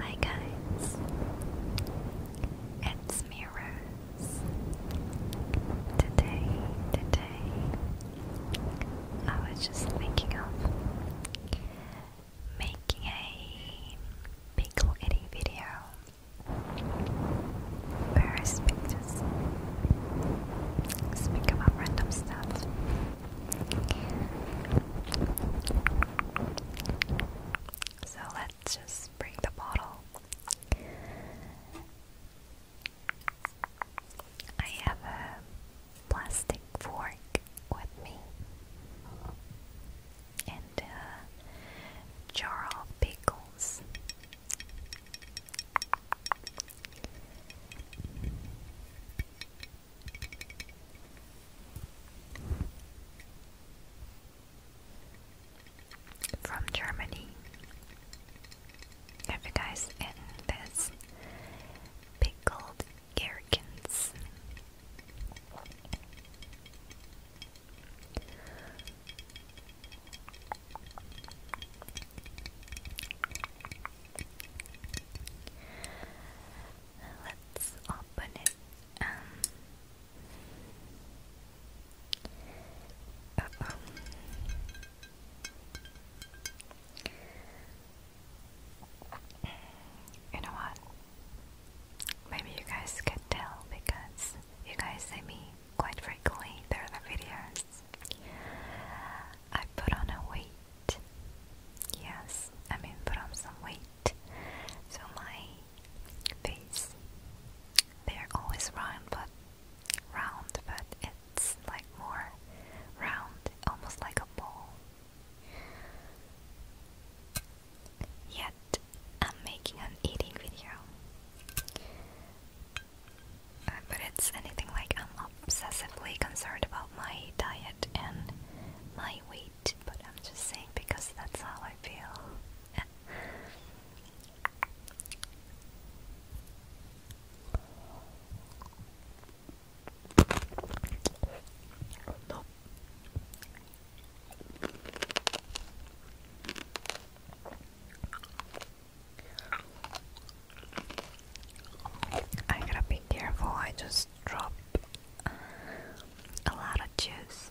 Hi guys, it's me Rose. Today, today, I was just thinking of making a big little video where I speak just speak about random stuff. So let's just bring the bottle. I have a plastic fork with me and a jar of pickles. From Germany. Have you guys eaten this? Pickled gherkins. Let's open it. Um, you know what? Maybe you guys could tell because you guys see me quite frequently there through the videos. I put on a weight. Yes, I mean put on some weight. So my face, they're always round, but round, but it's like more round, almost like a ball. Yet I'm making an eating video. Uh, but it's anything like I'm obsessively concerned about my diet and my weight, but I'm just saying because that's how I feel. I gotta be careful, I just dropped a lot of juice.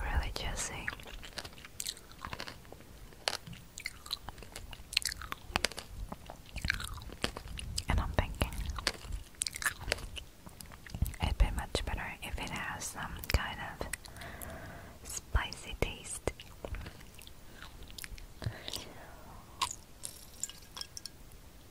Really juicy. And I'm thinking it'd be much better if it has some kind of spicy taste.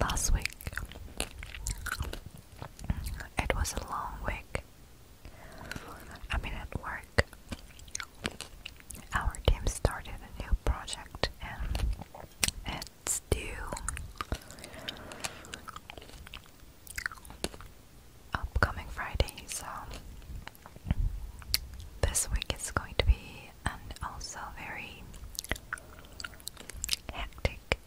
Last week, it was a long week I mean, at work, our team started a new project and it's due upcoming Friday, so this week it's going to be and also very hectic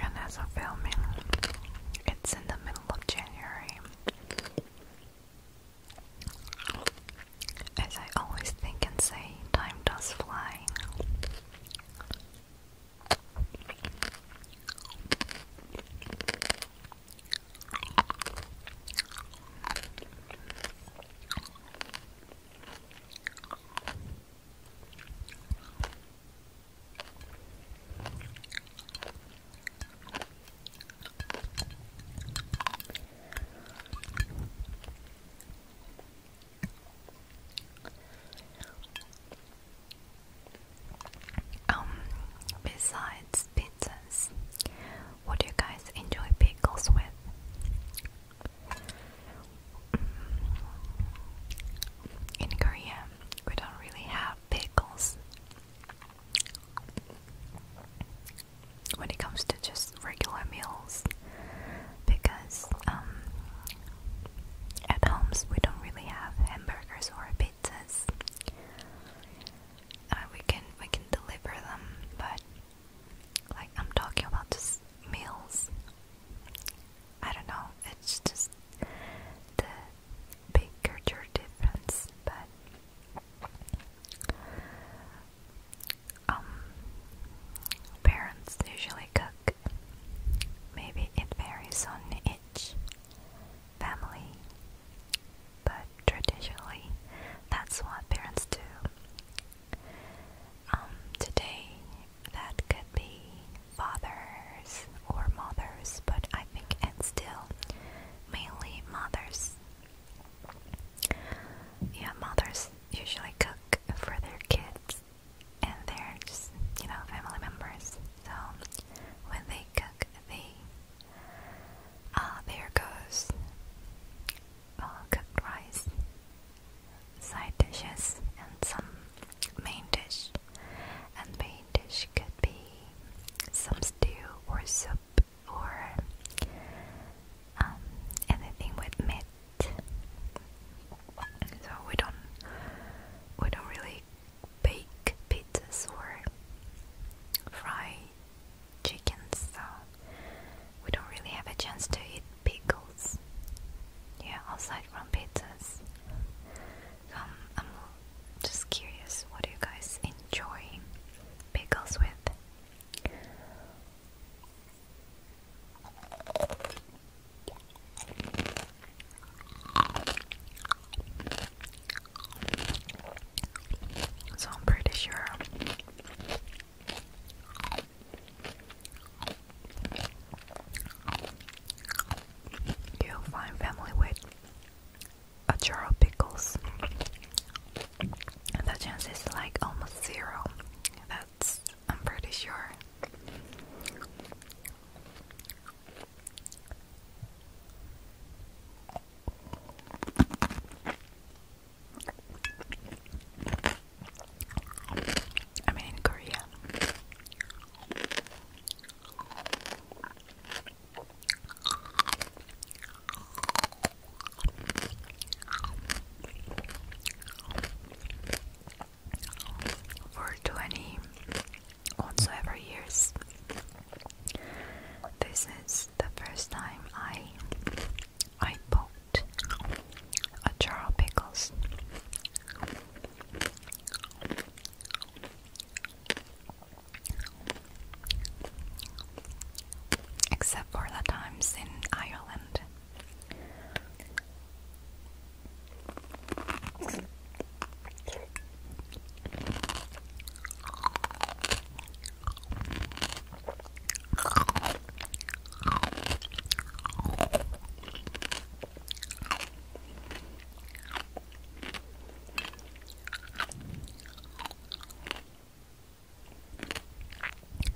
and as a filming, it's in the middle of January. As I always think and say, time does fly. Um, besides pizzas, what do you guys enjoy pickles with? Mm. In Korea, we don't really have pickles when it comes to just regular meals because um, at homes we don't really have hamburgers or pizzas. Uh, we can we can deliver them, but like I'm talking about just meals. I don't know. It's just the big difference, but um, parents usually cook. Maybe it varies on each family, but traditionally that's what parents do. Um, today that could be fathers or mothers, but I think it's still mainly mothers yeah, mothers usually cook for their kids and they're just, you know, family members. So when they cook, they ah, there goes uh, cooked rice, side dishes, and some main dish. And main dish could be some stew or soup or um, anything with meat. So we don't we don't really bake pizzas or fry chickens. So we don't really have a chance to eat pickles. Yeah, aside from pizzas. I'm just curious, what do you guys enjoy pickles with? So I'm pretty sure you'll find family with a jar of pickles the chance is like almost zero. That's, I'm pretty sure. I mean, in Korea. For 20 whatsoever years, this is the first time I I bought a jar of pickles except for the times in Ireland.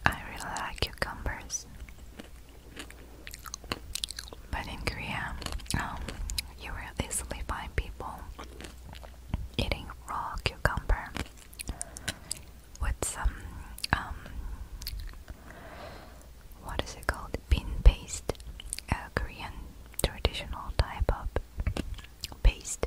I really like cucumbers. But in Korea, um, you will easily find people eating raw cucumber with some, um, what is it called? Bean paste, a Korean traditional type of paste.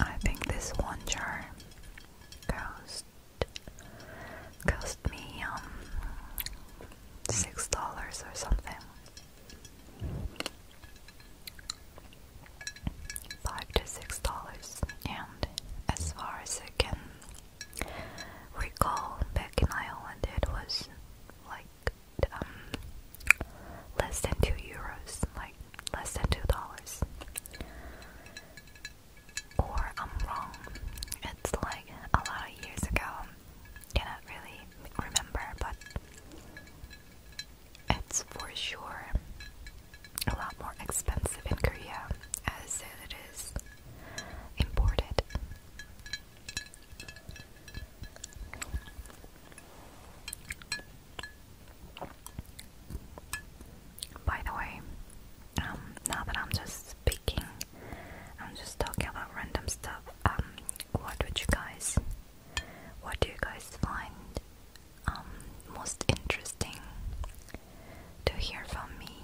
I think this one jar cost cost me um six dollars or something. Five to six dollars, and as far as I can recall, back in Ireland, it was like um less than two euros, like less than two dollars. Or I'm wrong. It's like a lot of years ago. Cannot really remember, but it's for sure a lot more expensive in Korea as it is imported. By the way, um, now that I'm just speaking, I'm just talking about random stuff. Um, what would you guys, what do you guys find um, most interesting to hear from me?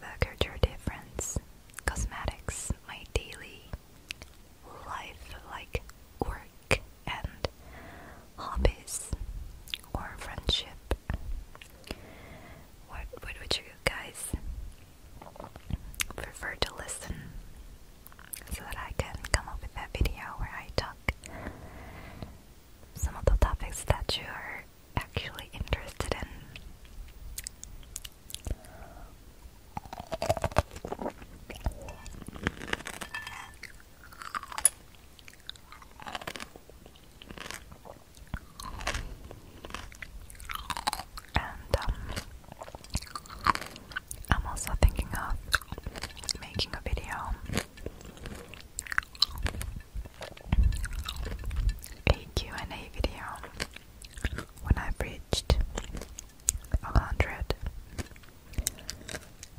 The culture difference cosmetics, my daily life, like work and hobbies or friendship. What, what would you guys prefer to listen so that I can come up with that video where I talk some of the topics that you are actually interested in? And um, I'm also thinking of making a video a and a video when i reached a hundred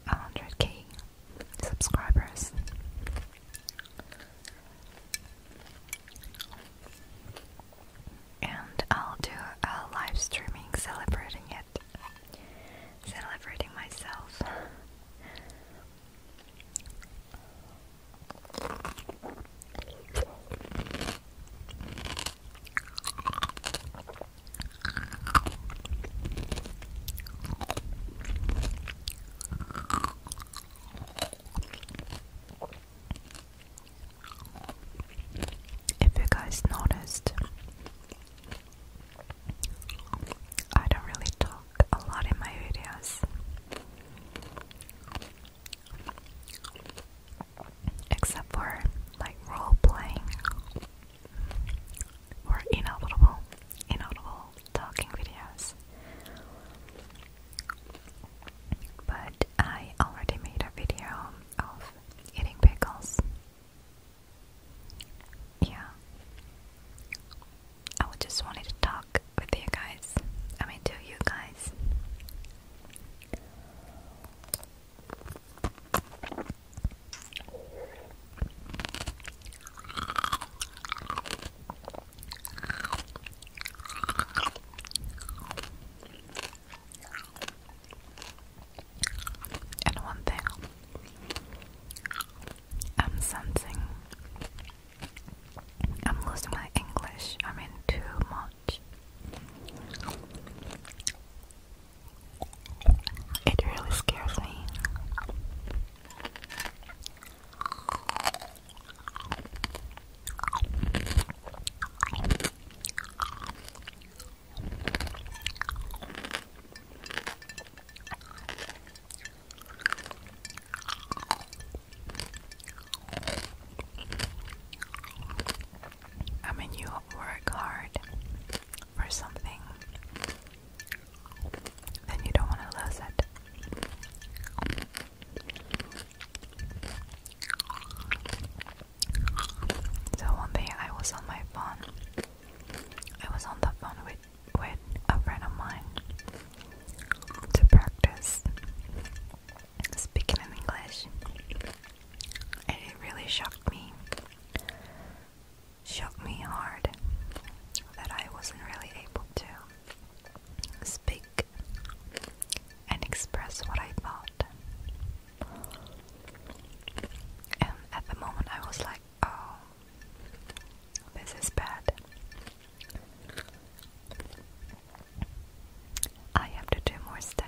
a hundred K subscribers. And I'll do a live streaming celebrating it. Celebrating myself. If you guys noticed, I don't really talk a lot in my videos. Except for like role playing or inaudible, inaudible talking videos. But I already made a video of eating pickles. Yeah. I just wanted to talk with you guys. I mean, to you guys. And one thing, I'm I'm losing my English. I mean, too much. It really scares me. I mean, you work hard for something, then you don't want to lose it. So one day I was on my phone. I was on the phone with with a friend of mine to practice speaking in English, and it really shocked me. Shocked me hard that I wasn't really able to speak and express what I thought. And at the moment, I was like, oh, this is bad. I have to do more studying.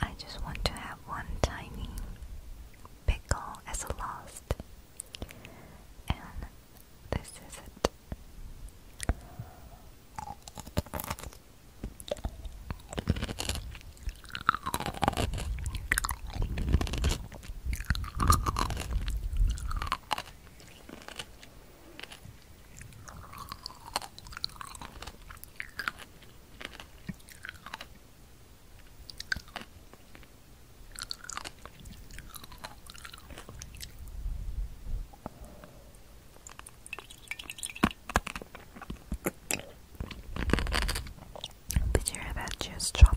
I just want to have one tiny pickle as a last. And this is it. Did you hear that juice dropping?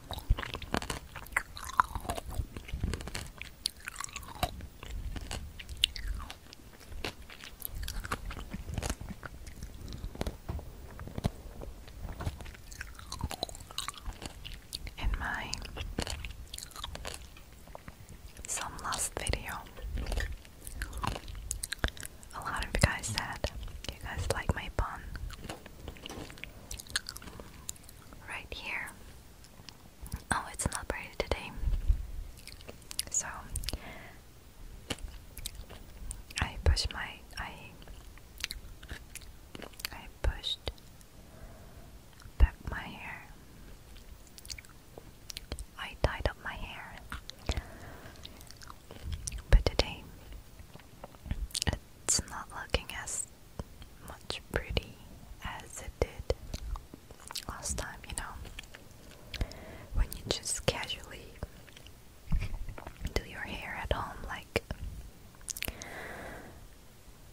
In my some last video, a lot of you guys said you guys like my pun right here. Oh, it's not pretty today. So I push my I I pushed back my hair. I tied up my hair. But today it's not looking as much pretty as it did last time, you know. When you just casually do your hair at home, like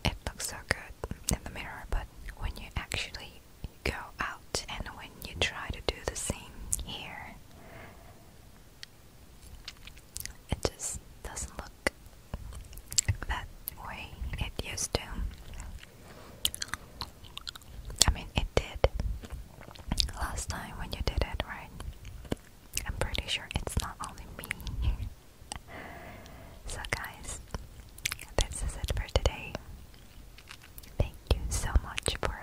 it looks so good in the mirror, but when you actually go out and when you try to do the same here, it just doesn't look that way it used to. I mean, it did last time when you did it, right? I'm pretty sure it's not only me. so, guys, this is it for today. Thank you so much for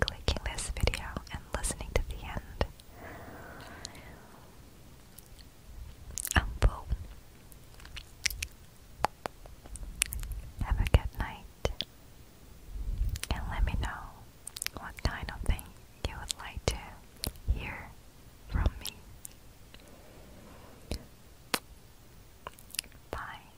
clicking this video and listening to the end. Umbo. Have a good night. And let me know what kind of thing you would like to hear from me. Bye.